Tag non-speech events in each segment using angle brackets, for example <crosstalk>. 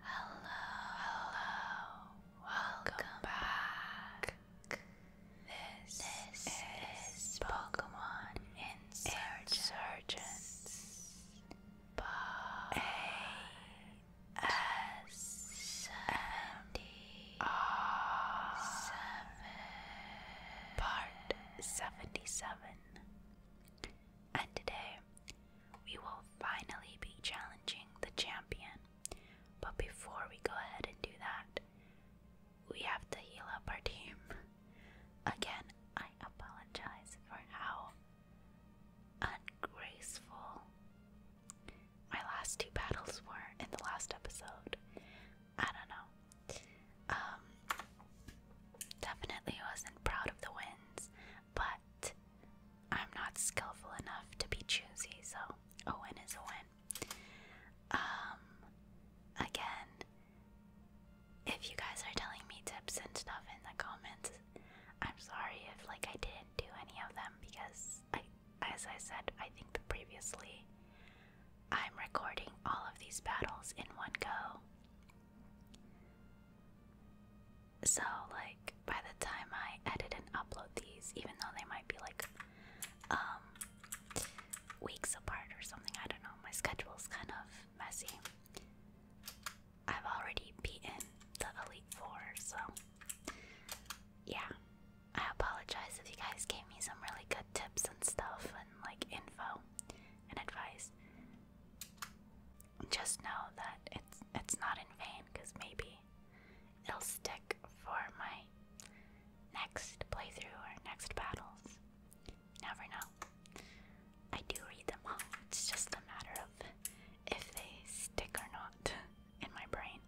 Hello, hello, welcome, back. This, is, Pokemon Insurgents, by S part seventy seven. And today we will finally be challenging the champion. But before we go ahead and do that, we have to heal up our team. Again, I apologize for how ungraceful my last two battles were in the last episode. I don't know. Um, definitely wasn't proud of the wins, but I'm not skillful enough to be choosy, so a win is a win. Um, again, if you guys are telling me tips and stuff in the comments, I'm sorry if like I didn't do any of them because I, as I said, I think previously, I'm recording all of these battles in one go. So, like, by the time I edit and upload these, even though they might be like um, weeks apart or something, I don't know, my schedule's kind of messy. I've already beaten the Elite Four, so yeah, I apologize if you guys gave me some really good tips and stuff and like info and advice. Just know that it's it's not in vain because maybe it'll stick for my next playthrough or next battles. Never know. I do read them all. It's just a matter of if they stick or not <laughs> in my brain.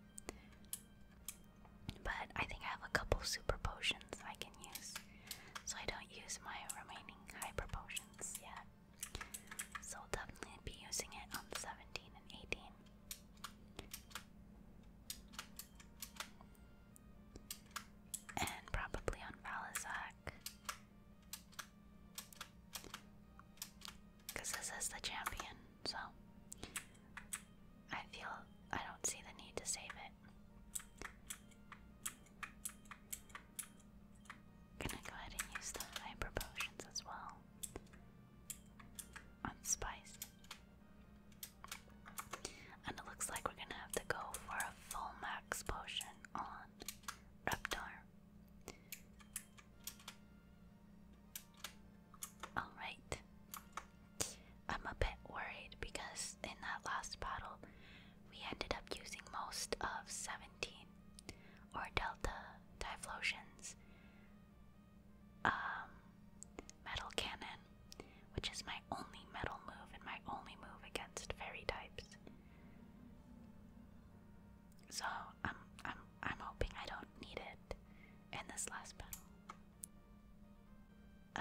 But I think I have a couple super potions I can use, so I don't use my remaining hyper potions yet. So I'll definitely be using it on 17 and 18. And probably on Valazak because this is the champion, so I feel I don't see the need to save it. Gonna go ahead and use the hyper potions as well on spice. And it looks like we're gonna have to go for a full max potion on Reptar. Alright. I'm a bit worried because in that last battle, we ended up using most of 17 or Delta Typhlosion's um, Metal Cannon, which is my only metal move and my only move against fairy types. So I'm I'm I'm hoping I don't need it. And this last battle.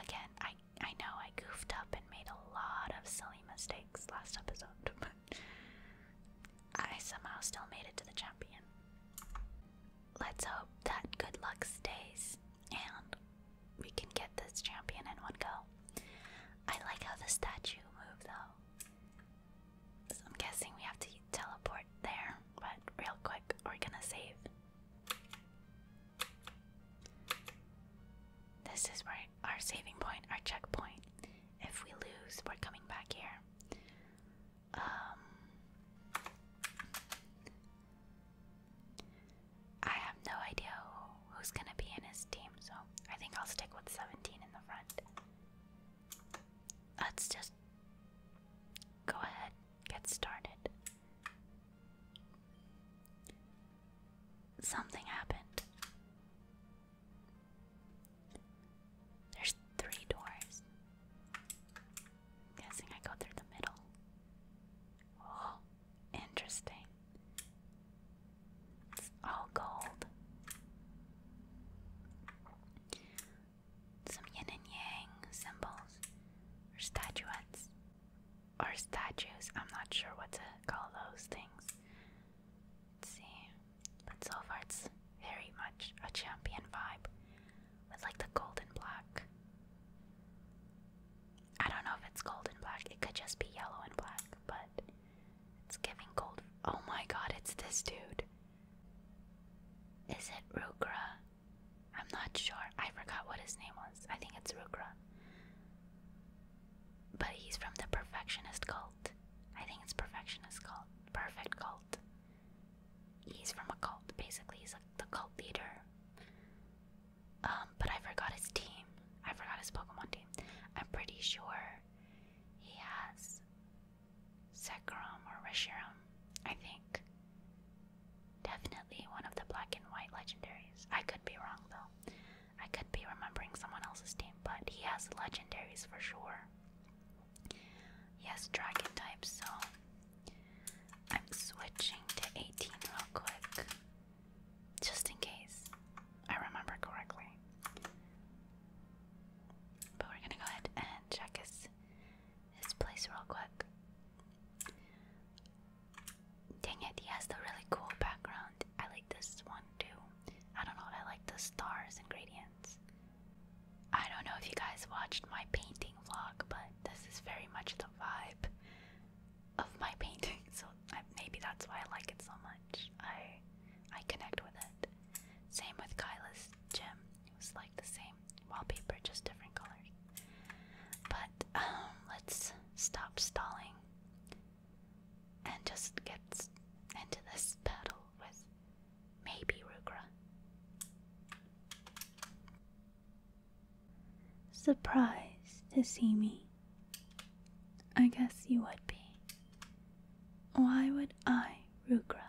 Again, I I know I goofed up and made a lot of silly mistakes last episode, <laughs> but I somehow still made it to the champion. Let's hope that good luck stays and we can get this champion in one go. I like how the statue moved though. So I'm guessing we have to teleport there, but real quick, we're gonna save. This is our saving point, our checkpoint. If we lose, we're coming back here. Um, I have no idea who's gonna be in his team, so I think I'll stick with 17 in the front. Let's just go ahead, get started. Something happened. There's three doors. guessing I go through the middle. Oh, interesting. It's all gold some yin and yang symbols or statuettes or statues. I'm not sure what to call those things. Let's see. But so far, it's very much a champion vibe with like the golden black. I don't know if it's gold black, it could just be yellow and black, but it's giving gold. Oh my god, it's this dude. Is it Rukra? I'm not sure. I forgot what his name was. I think it's Rukra. But he's from the Perfectionist cult. I think it's Perfectionist cult. Perfect cult. He's from a cult, basically. He's a, the cult leader. Um, but I forgot his team. I forgot his Pokemon team. I'm pretty sure he has Sekrom or Reshiram, I think. Definitely one of the black and white legendaries. I could be wrong though. I could be remembering someone else's team, but he has legendaries for sure. Yes, dragon type. so I'm switching to 18 real quick. Just in case I remember correctly. But we're gonna go ahead and check his this place real quick. Dang it, he has the really cool background. I like this one too. I don't know, I like the stars and gradients. I don't know if you guys watched my painting vlog, but this is very much the vibe of my painting, <laughs> so I, maybe that's why I like it so much. I I connect with it. Same with Kyla's gym. It was like the same wallpaper, just different colors. But um, let's stop stalling and just get into this battle with maybe Rugra. Surprised to see me. I guess you would be. Why would I, Rugra,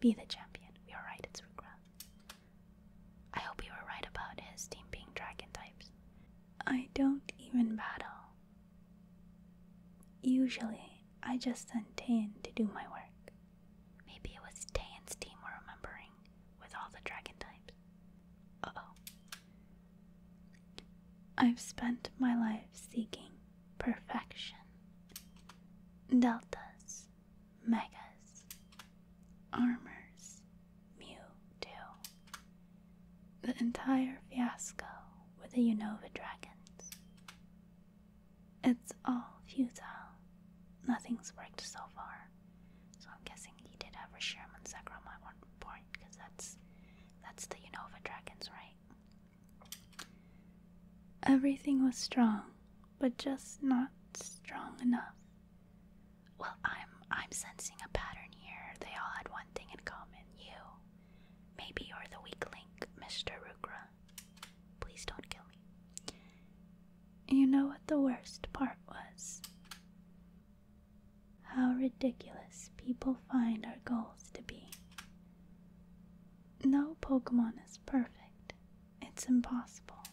be the champion? We are right, it's Rugra. I hope you were right about his team being dragon types. I don't even battle. Usually, I just send Tayan to do my work. Maybe it was Tayan's team we're remembering with all the dragon types. oh. I've spent my life seeking perfection. Deltas, Megas, Armors, Mewtwo. The entire fiasco with the Unova dragons. It's all futile. Nothing's worked so far. So I'm guessing he did have a Sherman Sakram at one point, because that's that's the Unova dragons, right? Everything was strong but just not strong enough. Well, I'm I'm sensing a pattern here. They all had one thing in common. You. Maybe you're the weak link, Mr. Rukra. Please don't kill me. You know what the worst part was? How ridiculous people find our goals to be. No Pokemon is perfect, it's impossible.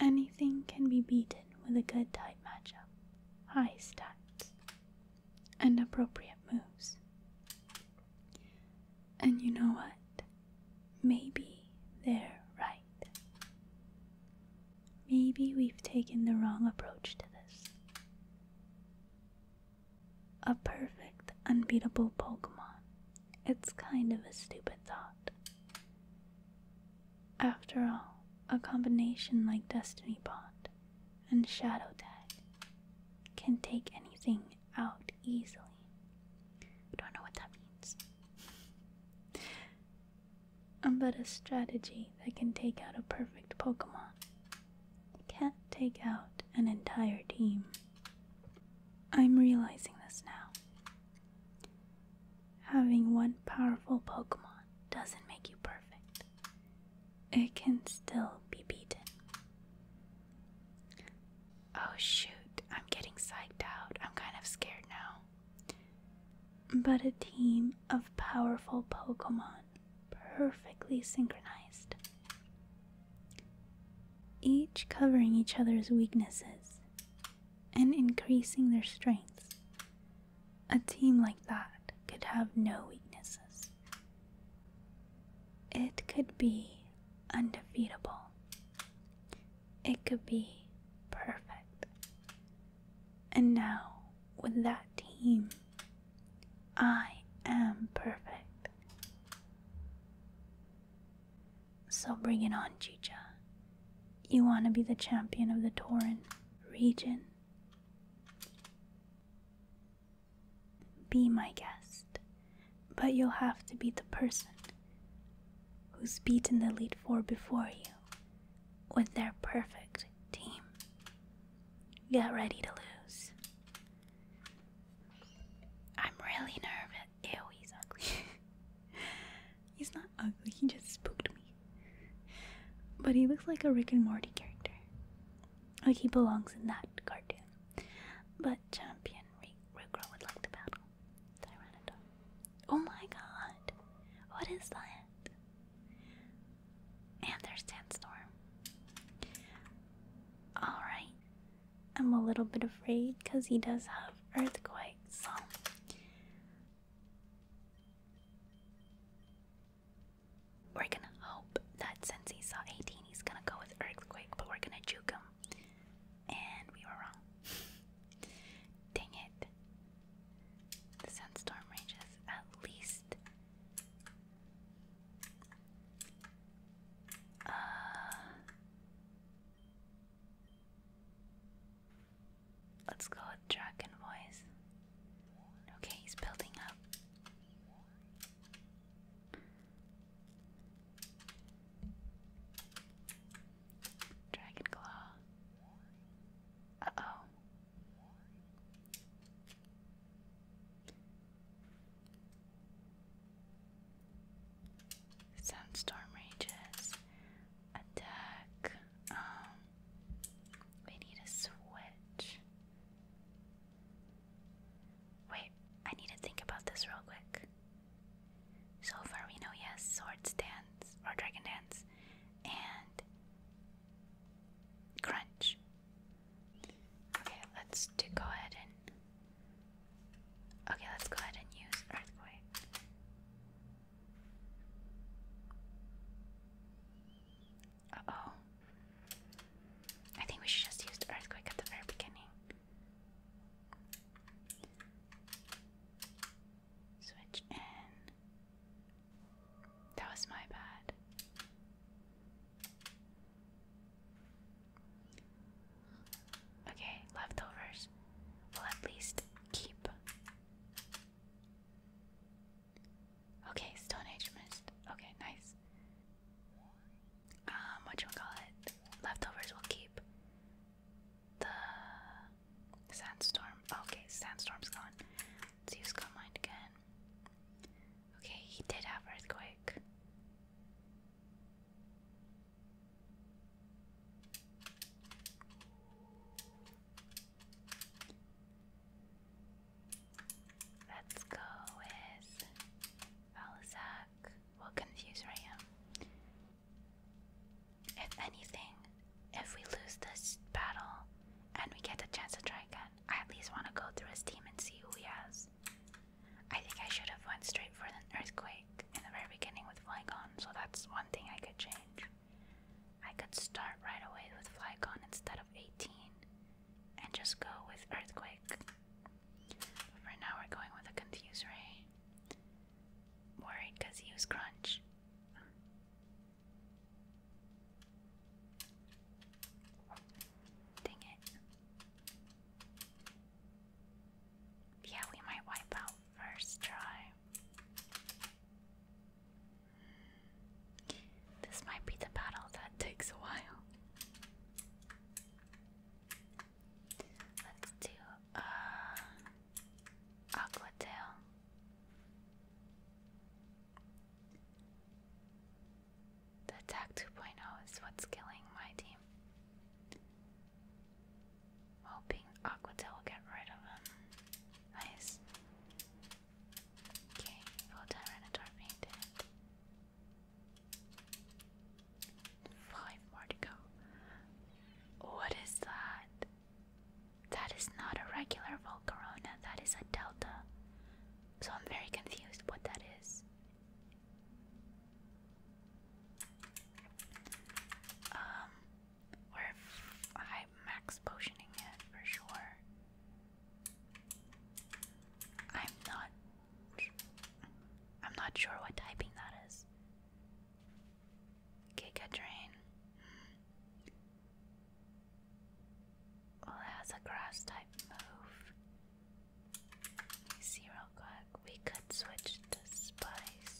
Anything can be beaten with a good type matchup, high stats, and appropriate moves. And you know what? Maybe they're right. Maybe we've taken the wrong approach to this a perfect, unbeatable Pokemon. It's kind of a stupid thought. After all, a combination like Destiny Bond and Shadow Tag can take anything out easily. I don't know what that means. Um, but a strategy that can take out a perfect Pokemon can't take out an entire team. I'm realizing this now. Having one powerful Pokemon doesn't make you perfect, it can still be beaten. Oh shoot, I'm getting psyched out. I'm kind of scared now. But a team of powerful Pokemon, perfectly synchronized, each covering each other's weaknesses and increasing their strengths. A team like that could have no weaknesses. It could be undefeatable. It could be perfect. And now, with that team, I am perfect. So bring it on, Chicha. You want to be the champion of the Torin region? Be my guest, but you'll have to be the person who's beaten the lead four before you with their perfect team. Get ready to lose. I'm really nervous. Ew, he's ugly. <laughs> he's not ugly, he just spooked me. But he looks like a Rick and Morty character. Like he belongs in that cartoon. But champion Rick, would like to battle. Tyranitar. Oh my god. What is that? And there's Sandstorm. Alright. I'm a little bit afraid because he does have earthquake, so we're gonna hope that since he saw 18, he's gonna go with earthquake, but we're gonna juke him. And we were wrong. <laughs> Dang it. sandstorm ranges at least uh, let's go with dragon voice. Okay, he's building up. Dragon claw. Uh oh. Sandstorm rages. Attack. Um, we need a switch. Wait, I need to think about this real quick. So far we know yes, sword dance or dragon dance and crunch. Okay, let's go ahead and Okay, let's go ahead and use Earthquake. Uh oh. I think we should just use Earthquake at the very beginning. Switch in. That was my bad. Okay, leftovers. will at least keep. Okay, Stone Age mist. Okay, nice. Um, what you call it? Leftovers will keep. The sandstorm. Okay, sandstorm's gone. Let's use again. Okay, he did have earthquake. Let's go with Valzac. We'll confuse Ram. If anything, if we lose this battle and we get the chance to try again, I at least want to go through his team and see who he has. I think I should have went straight for an earthquake in the very beginning with Flygon, so that's one thing I could change. I could start right away with Flygon instead of 18 and just go with Earthquake. But now we're going with a Confuse Ray. Worried he used Crunch. Dang it. Yeah, we might wipe out first try. This might be the battle that takes a while. Let's do uh Aqua Tail. The attack 2.0 is what's killing my team. Hoping Aquatel will get rid of him. Nice. Okay, full Tyranitar painted. Five more to go. What is that? That is not a regular Volcarona, that is a Delta. So I'm very confused what that is. Um, we're high max potioning it for sure. I'm not. I'm not sure what typing that is. Giga drain. Well, it has a grass type move see We could switch to spice.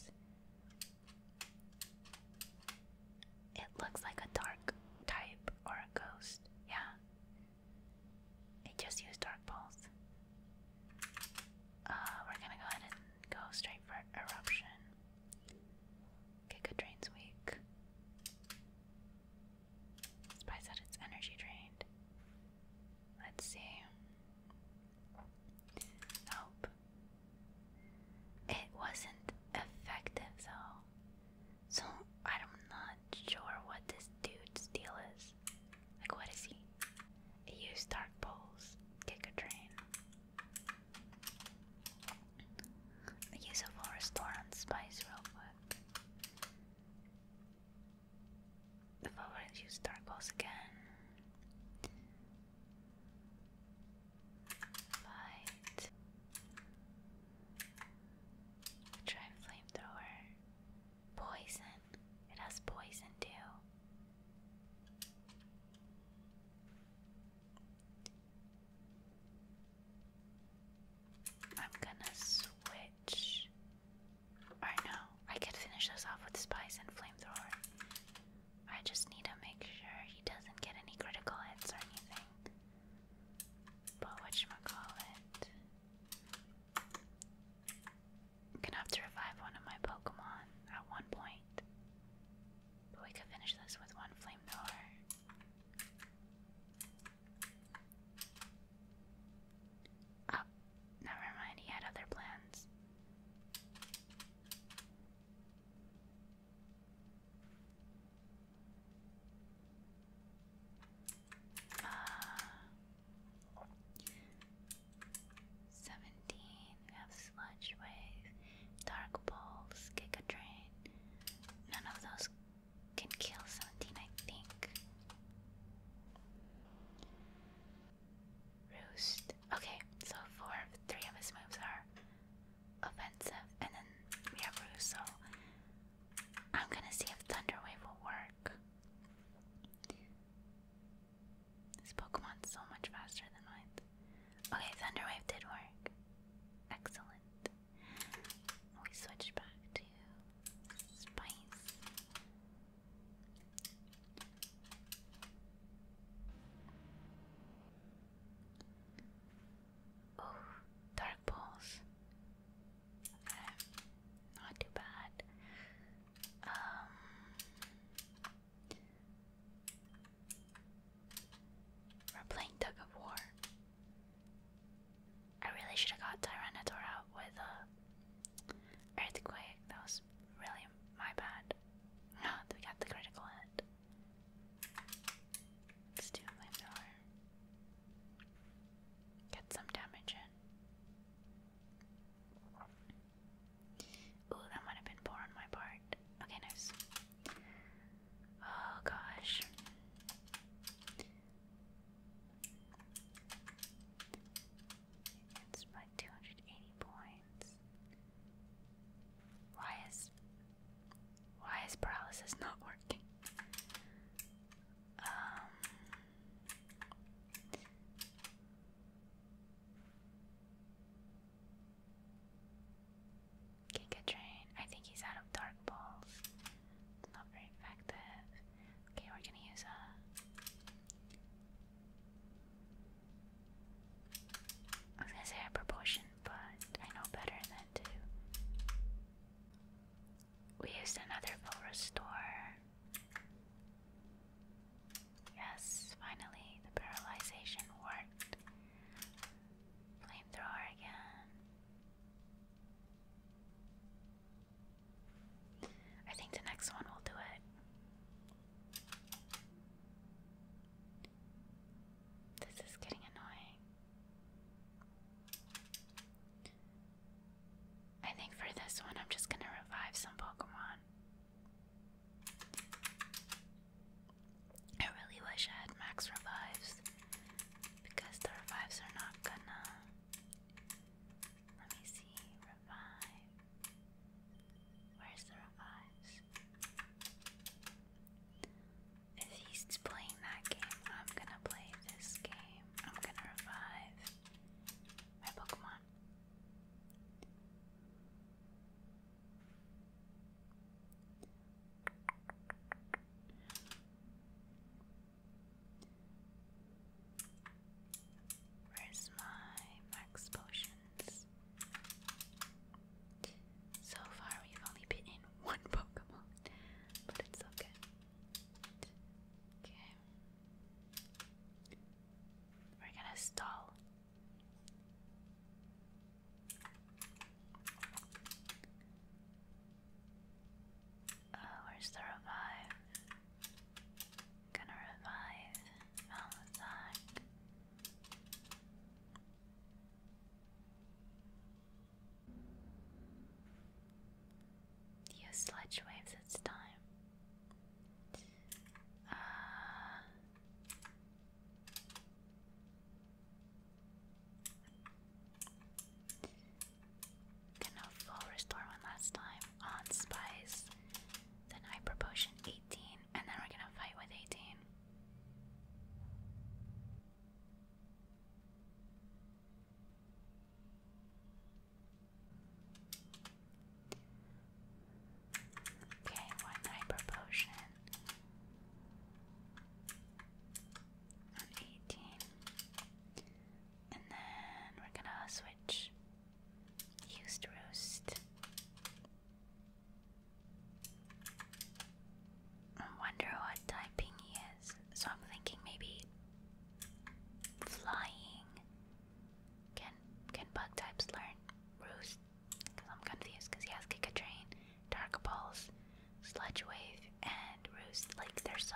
It looks like a dark type or a ghost. Yeah. It just used dark pulse. Uh, we're gonna go ahead and go straight for eruption. Giga drain's weak. Spice that its energy drained. Let's see. Nope. It wasn't effective though. So I'm not sure what this dude's deal is. Like what is he? He used dark poles. Kick a train. Use a full restore spice real quick. If I were to use Dark Pulse again. Fight. Try Flamethrower. Poison. It has poison too. I'm gonna switch or no, I could finish this off with spice and flamethrower. I just need to make sure he doesn't get any critical hits or anything. But whatchamacallit? I'm gonna have to revive one of my Pokemon at one point. But we could finish this with one flamethrower. Oh, Never mind, he had other plans. Uh, 17, we have sludge waves, dark balls, kick a train. None of those can kill 17, I think. Roost. Okay, so four of three of his moves are offensive, and then we have Roost, so I'm gonna see if Thunder Wave will work. This Pokemon's so much faster than mine. Okay, Thunder Wave did work. Excellent. We switch back to Spice. Oh, dark pools. not too bad. Um, we're playing tug of war. I really should have got Tyranitar out with uh, Earthquake, that was really my bad. Ah, <laughs> we got the critical hit. Let's Get some damage in. Ooh, that might have been poor on my part. Okay, nice. Oh gosh. It's by 280 points. Why is why is paralysis not working? Um Giga Drain. I think he's out of dark balls. It's not very effective. Okay, we're gonna use a. Uh, I was gonna say a proportion, but I know better than to. We used another full restore. Yes, finally, the paralyzation worked. Flamethrower again. I think the next one will do it. This is getting annoying. I think for this one, I'm just gonna revive some Pokemon. I really wish I had max revives because the revives are not gonna. Let me see revive? Where's the revives? If he's playing that game, I'm gonna play this game. I'm gonna revive my Pokemon. Where's my max potions? So far, we've only been in one <laughs> Pokemon, but it's okay. Okay. We're gonna stall. Uh, where's the revive? Gonna revive Malazak. Use sledge waves, it's time. Uh, Gonna full restore one last time on Spice. Then Hyper Potion 18, and then we're gonna fight with 18. Okay, one hyper potion on 18. And then we're gonna switch Used roast. I wonder what typing he is. So I'm thinking maybe flying. Can can bug types learn roost? Because I'm confused. Because he has kick a train, dark balls, sludge wave, and roost. Like they're so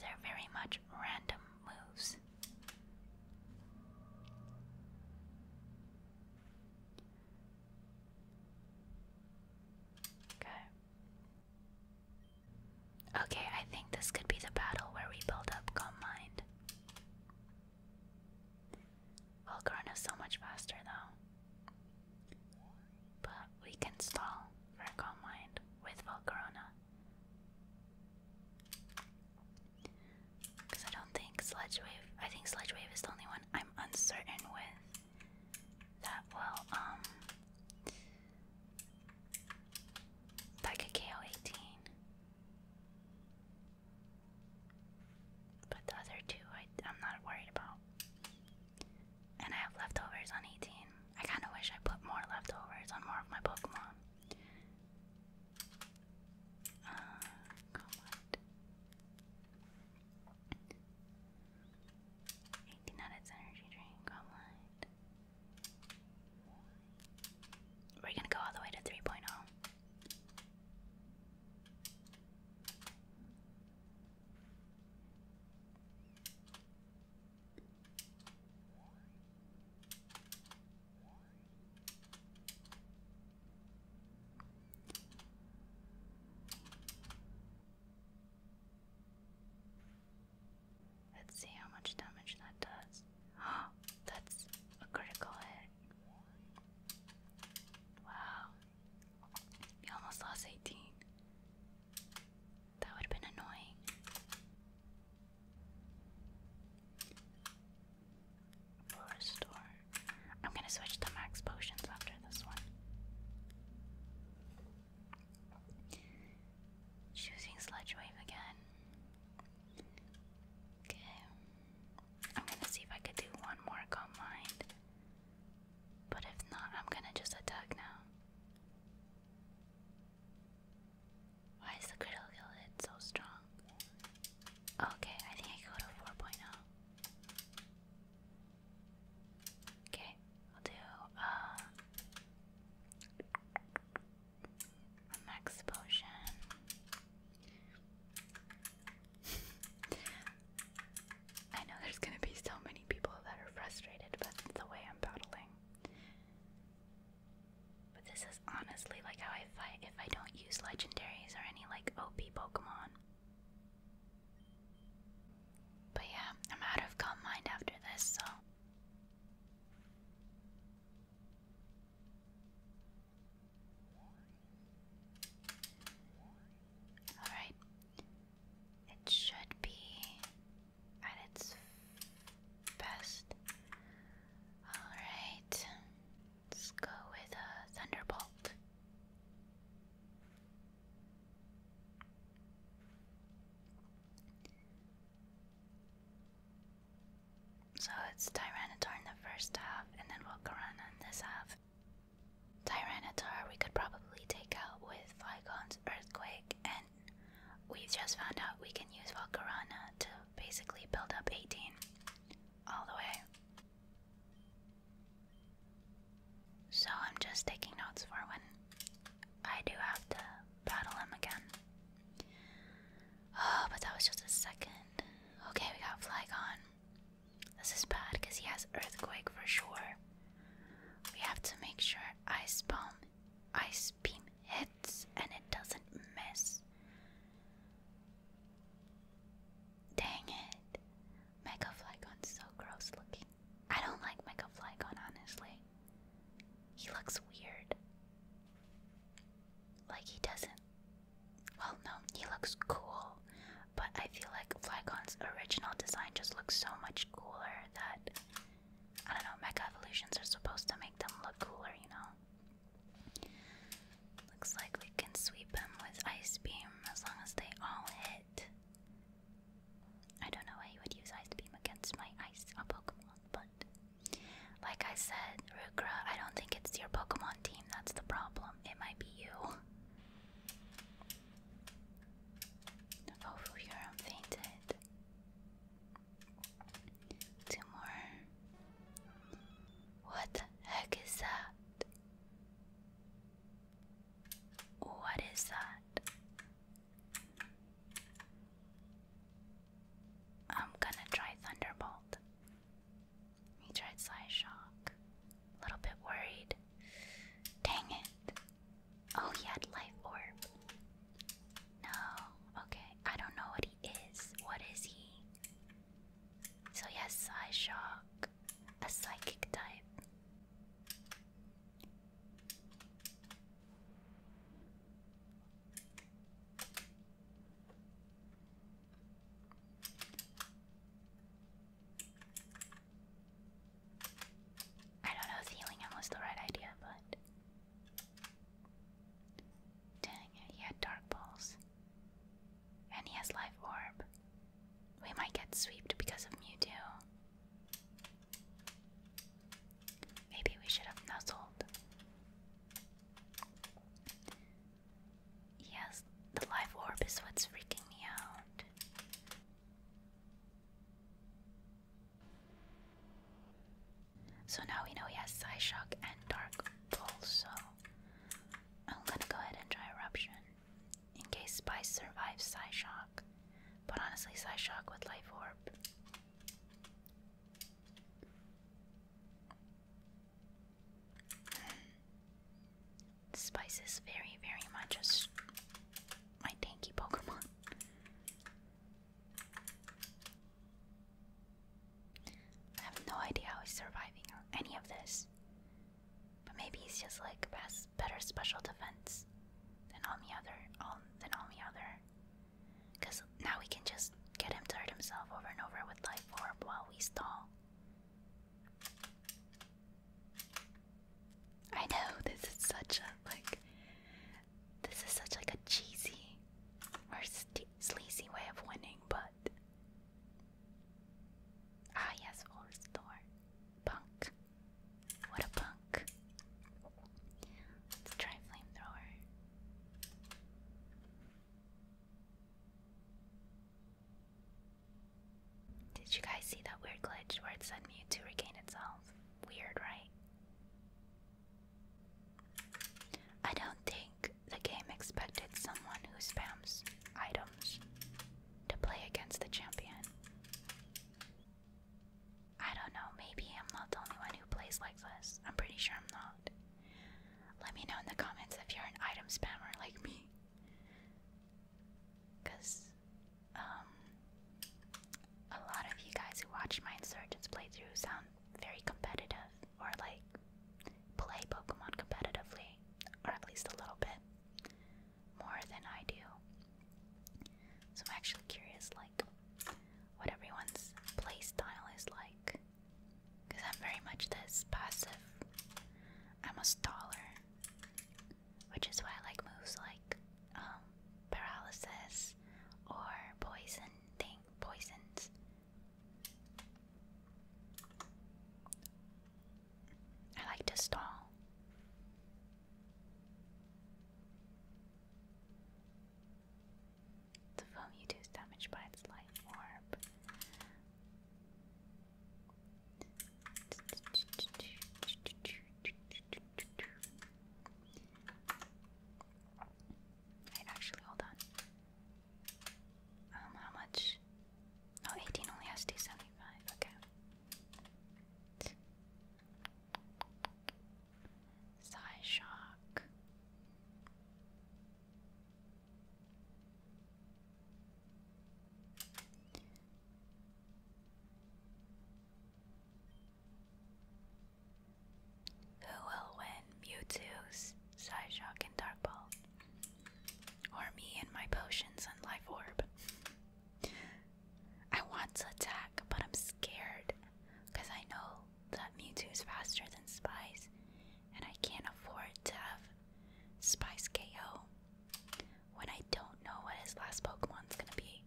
they're very much random moves. Okay. Okay, I think this could be the battle where we build up calm mind. Volcarna is so much faster though. But we can stall for calm mind with Volcarona. Because I don't think Sledge Wave, I think Sledge Wave is the only one I'm uncertain with that will, um, like a KO 18. But the other two, I, I'm not worried about. And I have leftovers on 18. I kind of wish I put more leftovers on more of my Pokemon. 18 nuggets energy drink, We're gonna go all the way to 3.0. Let's see how much damage that does. Oh, <gasps> that's a critical hit. Wow. You almost lost 18. That would have been annoying. Restore. I'm gonna switch to max potions after this one. Choosing Sledge Wave again. Okay. I'm gonna see if I could do one more calm But if not, I'm gonna just attack now. Why is the critical hit so strong? Okay, I think I can go to 4.0. Okay, I'll do um, a max potion. <laughs> I know there's gonna be so many people that are frustrated, but the way I'm battling. But this is honestly like how I fight if I don't use legendaries or any like OP Pokemon. But yeah, I'm out of calm mind after this, so. Alright. It should be at its best. Alright, let's go with a Thunderbolt. So it's Tyranitar in the first half, and then Volcarona in this half. Tyranitar we could probably take out with Flygon's Earthquake and We've just found out we can use Valkarana to basically build up 18 all the way. So I'm just taking notes for when I do have to battle him again. Oh, but that was just a second. Okay, we got Flygon. This is bad because he has Earthquake for sure. We have to make sure Ice Bomb ice beam hits and it doesn't miss. Dang it. Mega Flygon's so gross looking. I don't like Mega Flygon, honestly. He looks weird. Like, he doesn't. Well, no, he looks cool. But I feel like Flygon's original design just looks so much cooler that I don't know, mecha evolutions are supposed to make them look cooler, you know? Looks like we can sweep them with Ice Beam as long as they all hit. I don't know why you would use Ice Beam against my Ice uh, Pokemon, but like I said, Rukra, I don't think it's your Pokemon team that's the problem. It might be you. Oh, Furyum fainted. Two What the heck is that? What is that? I'm gonna try Thunderbolt. He tried Sly Shock. A little bit worried. Dang it. Oh, he had Life Orb. No. Okay. I don't know what he is. What is he? So he has Shock, a psychic type. I don't know if healing him was the right idea, but Dang he had dark balls. And he has life orb. We might get swept because of Mewtwo. Maybe we should have nuzzled. Yes, the life orb is what's freaking me out. So now we know he has Psyshock and Dark Pulse, so I'm gonna go ahead and try Eruption in case Spice survives Psyshock. But honestly, Psyshock with Life Orb. Hmm. Spice is very, very much a my tanky Pokemon. I have no idea how he's surviving any of this. But maybe he's just like best, better special defense than all the other, all, than all the other. Cause now we can just get him to hurt himself over and over with life orb while we stall. I know <laughs> this is such a like this is such like a cheesy or sleazy way of winning, but ah yes, we Punk. What a punk. Let's try flamethrower. Did you guys see that weird glitch where it said Mewtwo regain itself? Weird, right? I don't think the game expected someone who spams items to play against the champion. I don't know, maybe I'm not the only one who plays like this. I'm pretty sure I'm not. Let me know in the comments if you're an item spammer like me. Because, um, a lot of you guys who watched my Insurgents playthrough sound very competitive or like play Pokemon competitively, or at least a little bit more than I do. So I'm actually curious, like, what everyone's play style is like. Because I'm very much this passive. I'm a staller, which is why I like moves like um, paralysis or poison thing poisons. I like to stall. The foam you do by its light orb actually, hold on. Um, how much? Oh, 18 only has 275, okay. Psy shock. Who will win Mewtwo's Psyshock and Dark Ball? Or me and my potions and life orb? I want to attack, but I'm scared because I know that Mewtwo's faster than Spies, and I can't afford to have Spice KO when I don't know what his last Pokemon's gonna be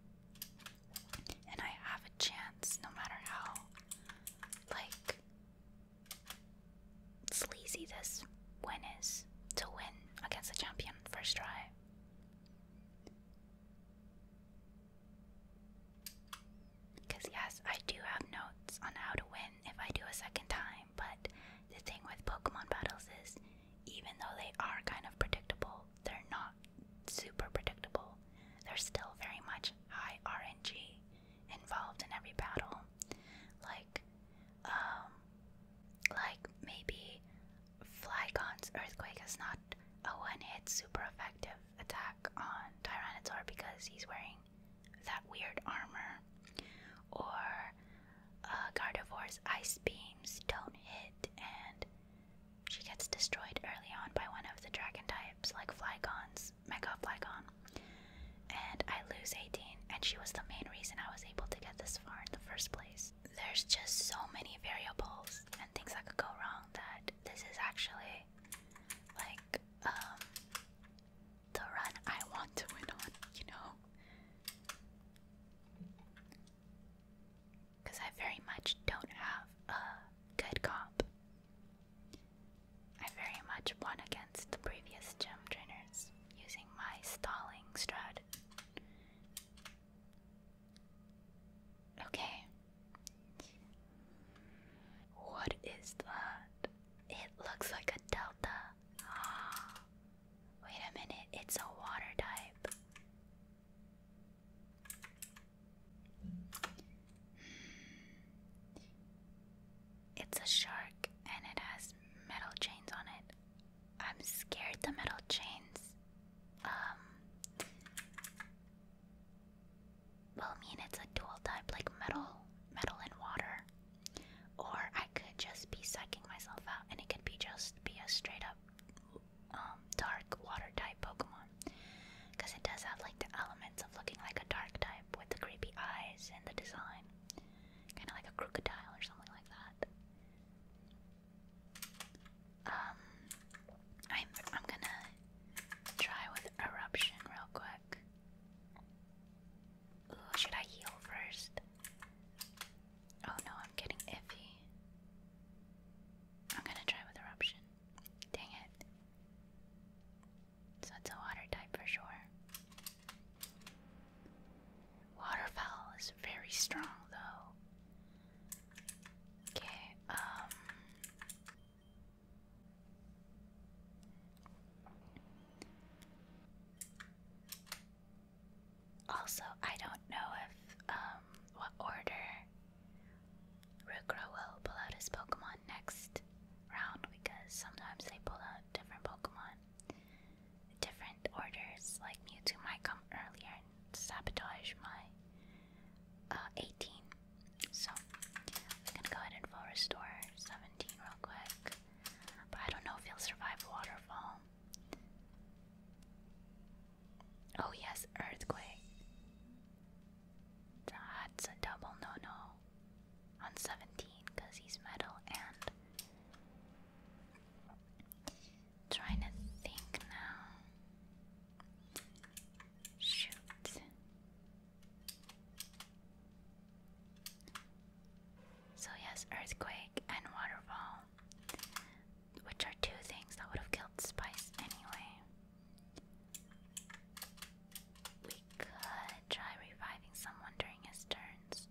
and I have a chance no matter how like sleazy this win is to win against the champion first try. Because, yes, I do have notes on how to win if I do a second time, but the thing with Pokemon battles is even though they are kind of predictable, they're not super predictable. There's still very much high RNG involved in every battle. Like, um, like maybe Flygon's Earthquake is not a one-hit super effective attack on Tyranitar because he's wearing that weird armor. Or uh, Gardevoir's Ice Beams don't hit and she gets destroyed early on by one of the dragon types, like Flygon's Mega Flygon. And I lose 18, and she was the main reason I was able to get this far in the first place. There's just so many variables and things that could go wrong that this is actually like um the run I want to win on, you know? Because I very much don't have a good comp I very much won against the previous gym trainers using my stalling Strud. Okay. What is that? It looks like a delta. <gasps> Wait a minute, it's a water type. It's a shark and it has metal chains on it. I'm scared the metal chains. Um Well mean it's a dual type like metal metal and water. Or I could just be sucking myself out and it could be just be a straight up um dark water type Pokemon. Because it does have like the elements of looking like a dark type with the creepy eyes and the design. Kind of like a crocodile or something like that. Um, I'm, I'm gonna try with Eruption real quick. Ooh, should I heal first? Oh no, I'm getting iffy. I'm gonna try with Eruption. Dang it. So it's a water type for sure. Waterfowl is very strong though. Okay, um also, I don't know if um what order Rookra will pull out his Pokemon next round because sometimes they pull out different Pokemon, different orders. Like Mewtwo might come earlier and sabotage my uh, 18. So we're gonna go ahead and full restore 17 real quick. But I don't know if he'll survive waterfall. Oh yes, earthquake. That's a double no no on 17 because he's metal and. Trying to think now. Shoot. So, yes, earthquake and waterfall, which are two things that would have killed Spice anyway. We could try reviving someone during his turns.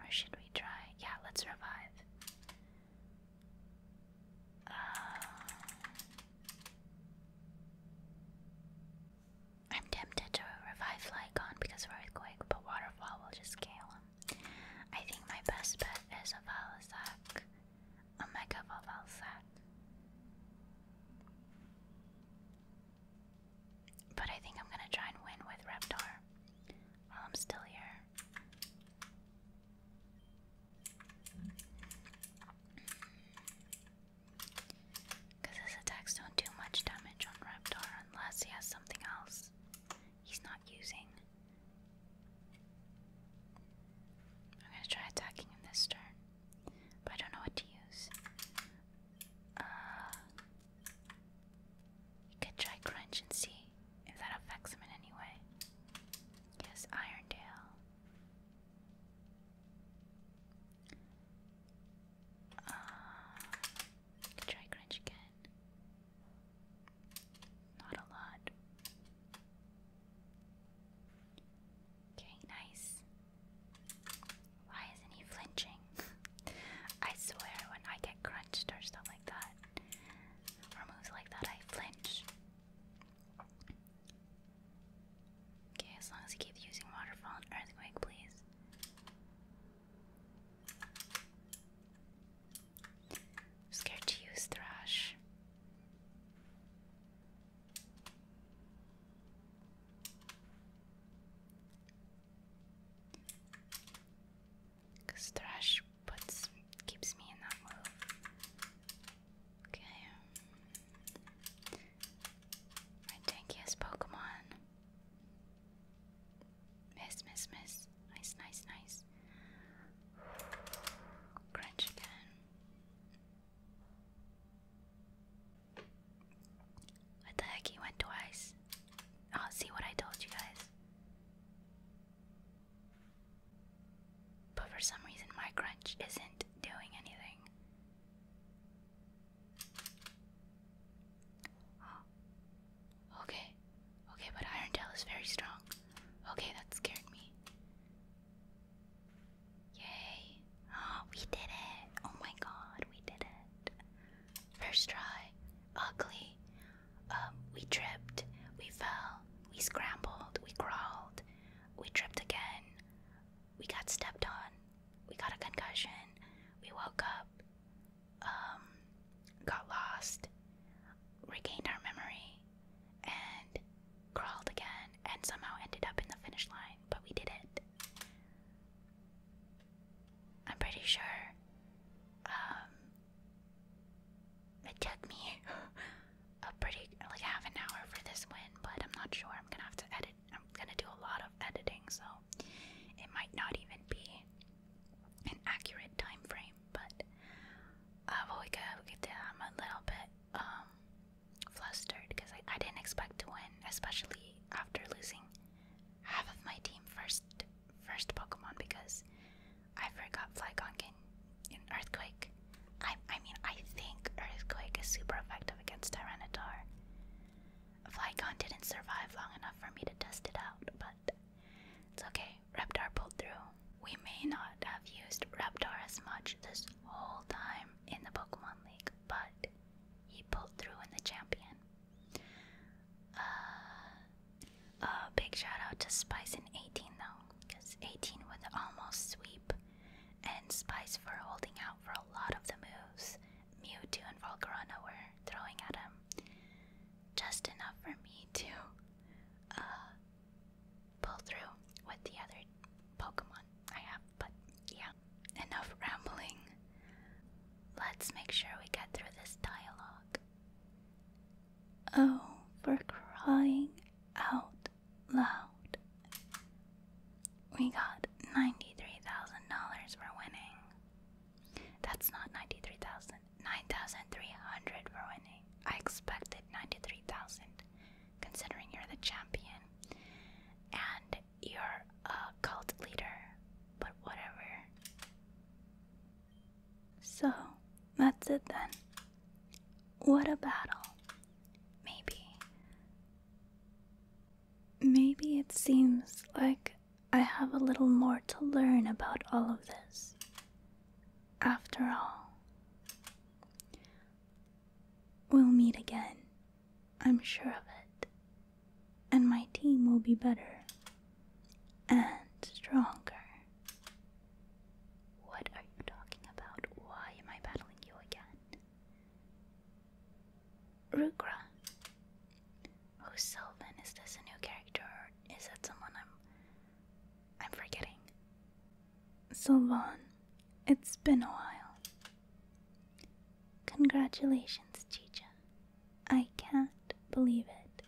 Or should we try? Yeah, let's revive. Uh, I'm tempted to revive Flygon because we're earthquake, but waterfall will just scale him. I think my best bet is a Valisac omega vowel set. But I think I'm gonna try and win with Reptar while I'm still here. Because his attacks don't do much damage on Reptar unless he has something else he's not using. I'm gonna try attacking him this turn, but I don't know what to use. Uh, you could try Crunch and see if that affects him in any way. Yes, Irondale. Uh, try Crunch again. Not a lot. Okay, nice. Why isn't he flinching? <laughs> I swear, when I get crunched or stuff like that, or moves like that, I flinch. Okay, as long as you keep using waterfall and earthquake, please scared to use Thrash. Cause Thrash puts keeps me in that move. Okay. My tankiest Pokemon. Miss, miss, miss nice, nice, nice, Crunch again. What the heck? He went twice. Oh, see what I told you guys. But for some reason, my crunch isn't doing anything. <gasps> Okay, Okay, but Iron Tail is very strong. Okay, that scared me. Yay. Oh, we did it. Oh my god, we did it. First try. Ugly. Um, we tripped. We fell. We scrambled. We crawled. We tripped again. We got stepped on. We got a concussion. We woke up. Um, got lost regained our memory and crawled again and somehow ended up in the finish line, but we did it. I'm pretty sure um, it took me <laughs> a pretty, like half an hour for this win, but I'm not sure. I'm gonna have to edit, I'm gonna do a lot of editing, so it might not even be an accurate time frame but I've always got I'm a little bit um, flustered because I, I didn't expect to win, especially after losing half of my team first first Pokemon because I forgot Flygon can, in Earthquake. I, I mean, I think Earthquake is super effective against Tyranitar. Flygon didn't survive long enough for me to test it out, but it's okay. Reptar pulled through. We may not have used Reptar as much this whole time in the Pokemon League, but he pulled through in the champion. Uh, a big shout out to Spice in 18 though, because 18 with almost sweep, and Spice for holding out for a lot of the moves Mewtwo and Volcarona were throwing at him. Just enough for me to uh, pull through with the other Pokemon I have. But yeah, enough rambling. Let's make sure we get through this dialogue. Oh, for crying out loud. We got $93,000 for winning. That's not 93,000. 9,300 ruining. I expected 93,000, considering you're the champion and you're a cult leader, but whatever. So, that's it then. What a battle. Maybe. Maybe it seems like I have a little more to learn about all of this after all. We'll meet again, I'm sure of it, and my team will be better and stronger. What are you talking about? Why am I battling you again? Rugra. Oh, Sylvan, is this a new character is that someone I'm I'm forgetting. Sylvan, it's been a while. Congratulations, Chicha. I can't believe it.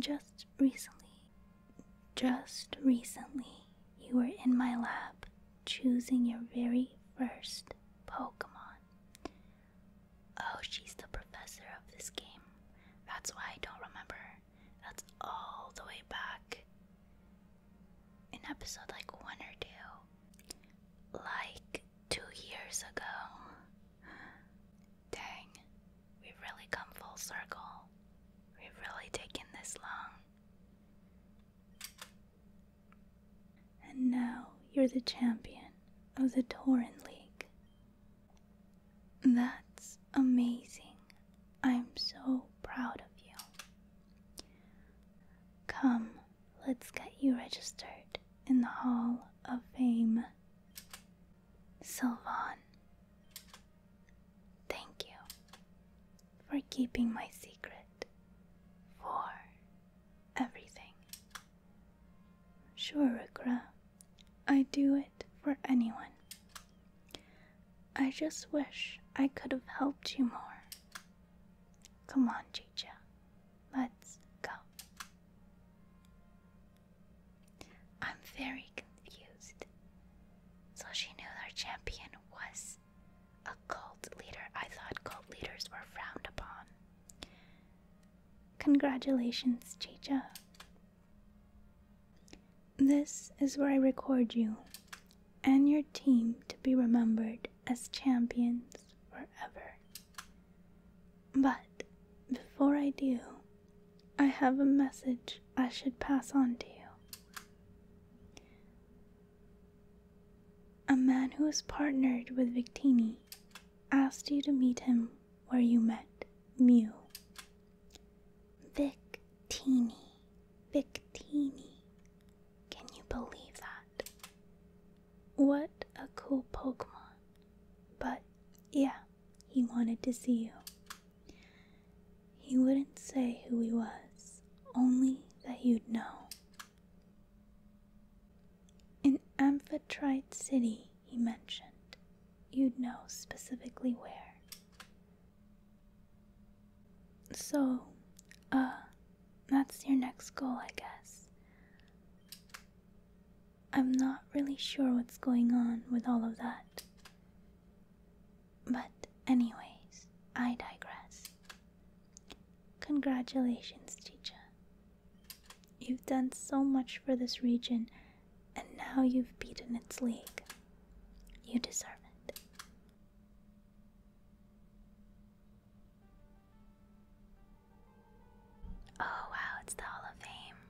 Just recently, just recently, you were in my lap, choosing your very first Pokemon. Oh, she's the professor of this game. That's why I don't remember that's all the way back in episode like one or two. Like two years ago. Dang, we've really come full circle. We've really taken this long. And now you're the champion of the Torin League. That's amazing. I'm so proud of you. Come, let's get you registered in the Hall of Fame. Sylvan, thank you for keeping my secret, for everything. Sure, Rukra, I do it for anyone. I just wish I could have helped you more. Come on, Chicha. Let's go. I'm very confused. So she knew our champion was a cult leader. I thought cult leaders were frowned upon. Congratulations, Chicha. This is where I record you and your team to be remembered as champions forever. But before I do, I have a message I should pass on to you. A man who who is partnered with Victini asked you to meet him where you met Mew Victini. Victini. Can you believe that? What a cool Pokemon. But yeah, he wanted to see you. He wouldn't say who he was, only that you'd know. In Amphitrite City, he mentioned. You'd know specifically where. So, uh, that's your next goal, I guess. I'm not really sure what's going on with all of that. But, anyways, I digress. Congratulations, teacher. You've done so much for this region and now you've beaten its league. You deserve it. Oh, wow, it's the Hall of Fame.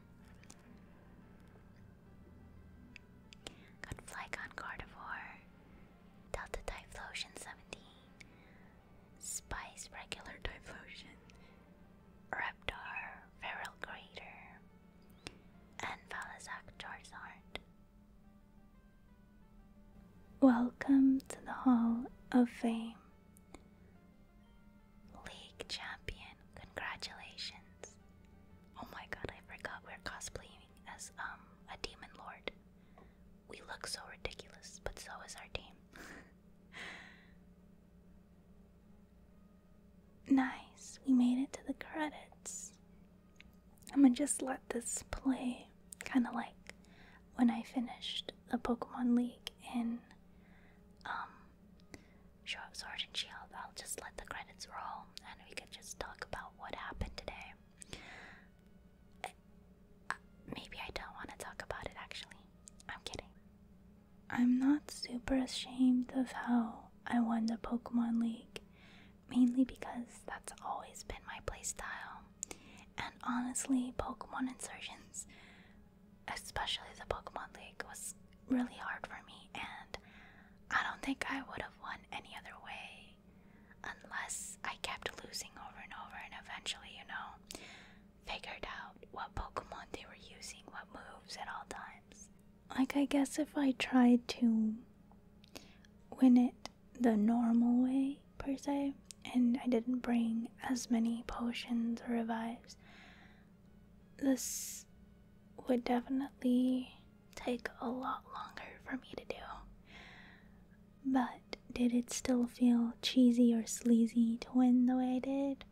Got Flycon Gardevoir, Delta Typhlosion 17, Spice Regular Typhlosion, Reptar, Feral Crater, and Valazak Welcome to the Hall of Fame. League champion, congratulations. Oh my god, I forgot we're cosplaying as um a demon lord. We look so ridiculous, but so is our team. <laughs> Nice, we made it to the credits. I'm gonna just let this play kind of like when I finished the Pokemon League in um, Sword and Shield. I'll just let the credits roll and we can just talk about what happened today. maybe I don't want to talk about it actually. I'm kidding. I'm not super ashamed of how I won the Pokemon League, mainly because that's always been my playstyle. And honestly, Pokemon Insurgents, especially the Pokemon League, was really hard for me, and I don't think I would have won any other way unless I kept losing over and over and eventually, you know, figured out what Pokemon they were using, what moves at all times like I guess if I tried to win it the normal way per se and I didn't bring as many potions or revives this would definitely take a lot longer for me to do. But did it still feel cheesy or sleazy to win the way I did?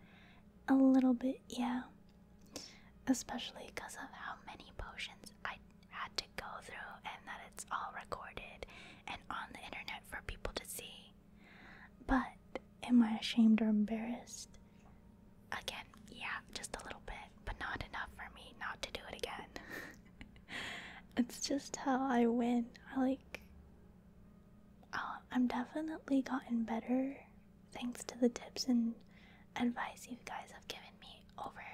A little bit, yeah. Especially because of how many potions I had to go through and that it's all recorded and on the internet for people to see. But am I ashamed or embarrassed? Again, yeah, just a little bit, but not enough for me not to do it again. <laughs> it's just how I win. I like. Uh, I'm definitely gotten better thanks to the tips and advice you guys have given me over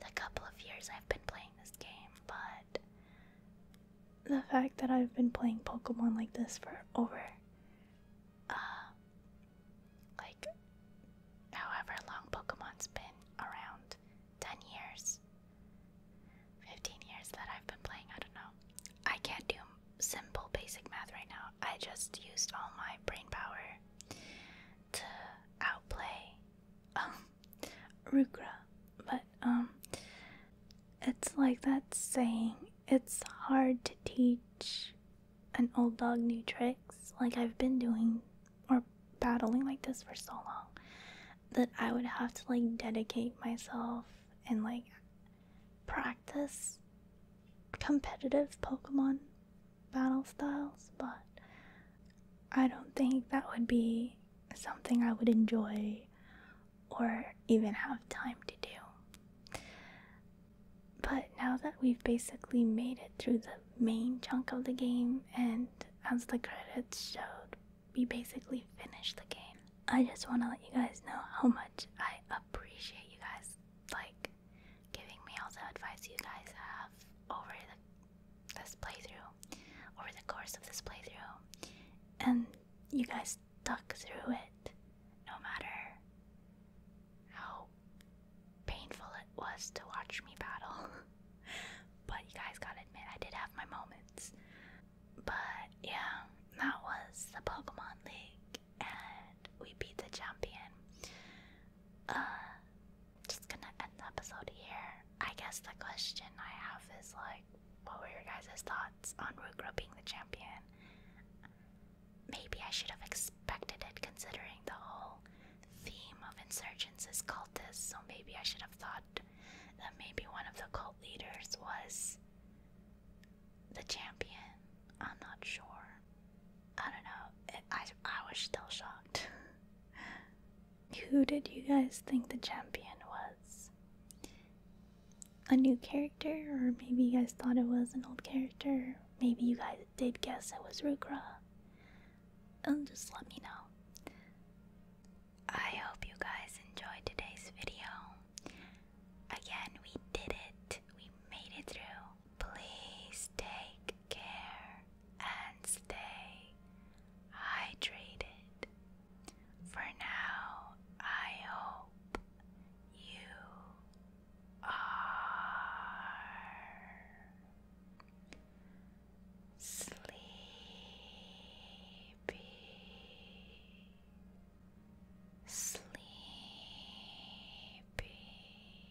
the couple of years I've been playing this game, but the fact that I've been playing Pokemon like this for over, uh, like however long Pokemon's been around 10 years, 15 years that I've been playing, I don't know. I can't do simple basic math right now. I just used all my brain power to outplay um <laughs> Rugra. But um it's like that saying it's hard to teach an old dog new tricks like I've been doing or battling like this for so long that I would have to like dedicate myself and like practice competitive Pokemon battle styles, but I don't think that would be something I would enjoy or even have time to do. But now that we've basically made it through the main chunk of the game, and as the credits showed, we basically finished the game. I just want to let you guys know how much I appreciate you guys like giving me all the advice you guys have over the, this playthrough, over the course of this playthrough, and you guys stuck through it, no matter how painful it was to watch me battle. <laughs> but you guys gotta admit, I did have my moments. But yeah, that was the Pokemon League and we beat the champion. Uh, just gonna end the episode here. I guess the question I have is like, what were your guys' thoughts on Rugro being the champion? Maybe I should have expected it considering the whole theme of insurgents is cultists, so maybe I should have thought that maybe one of the cult leaders was the champion. I'm not sure. I don't know. I I was still shocked. <laughs> Who did you guys think the champion was? A new character, or maybe you guys thought it was an old character. Maybe you guys did guess it was Rukra. And um, just let me know. I hope you guys enjoyed today's video. Again, we did it. We made it through. Please take care and stay hydrated. For now, I hope you are sleepy, sleepy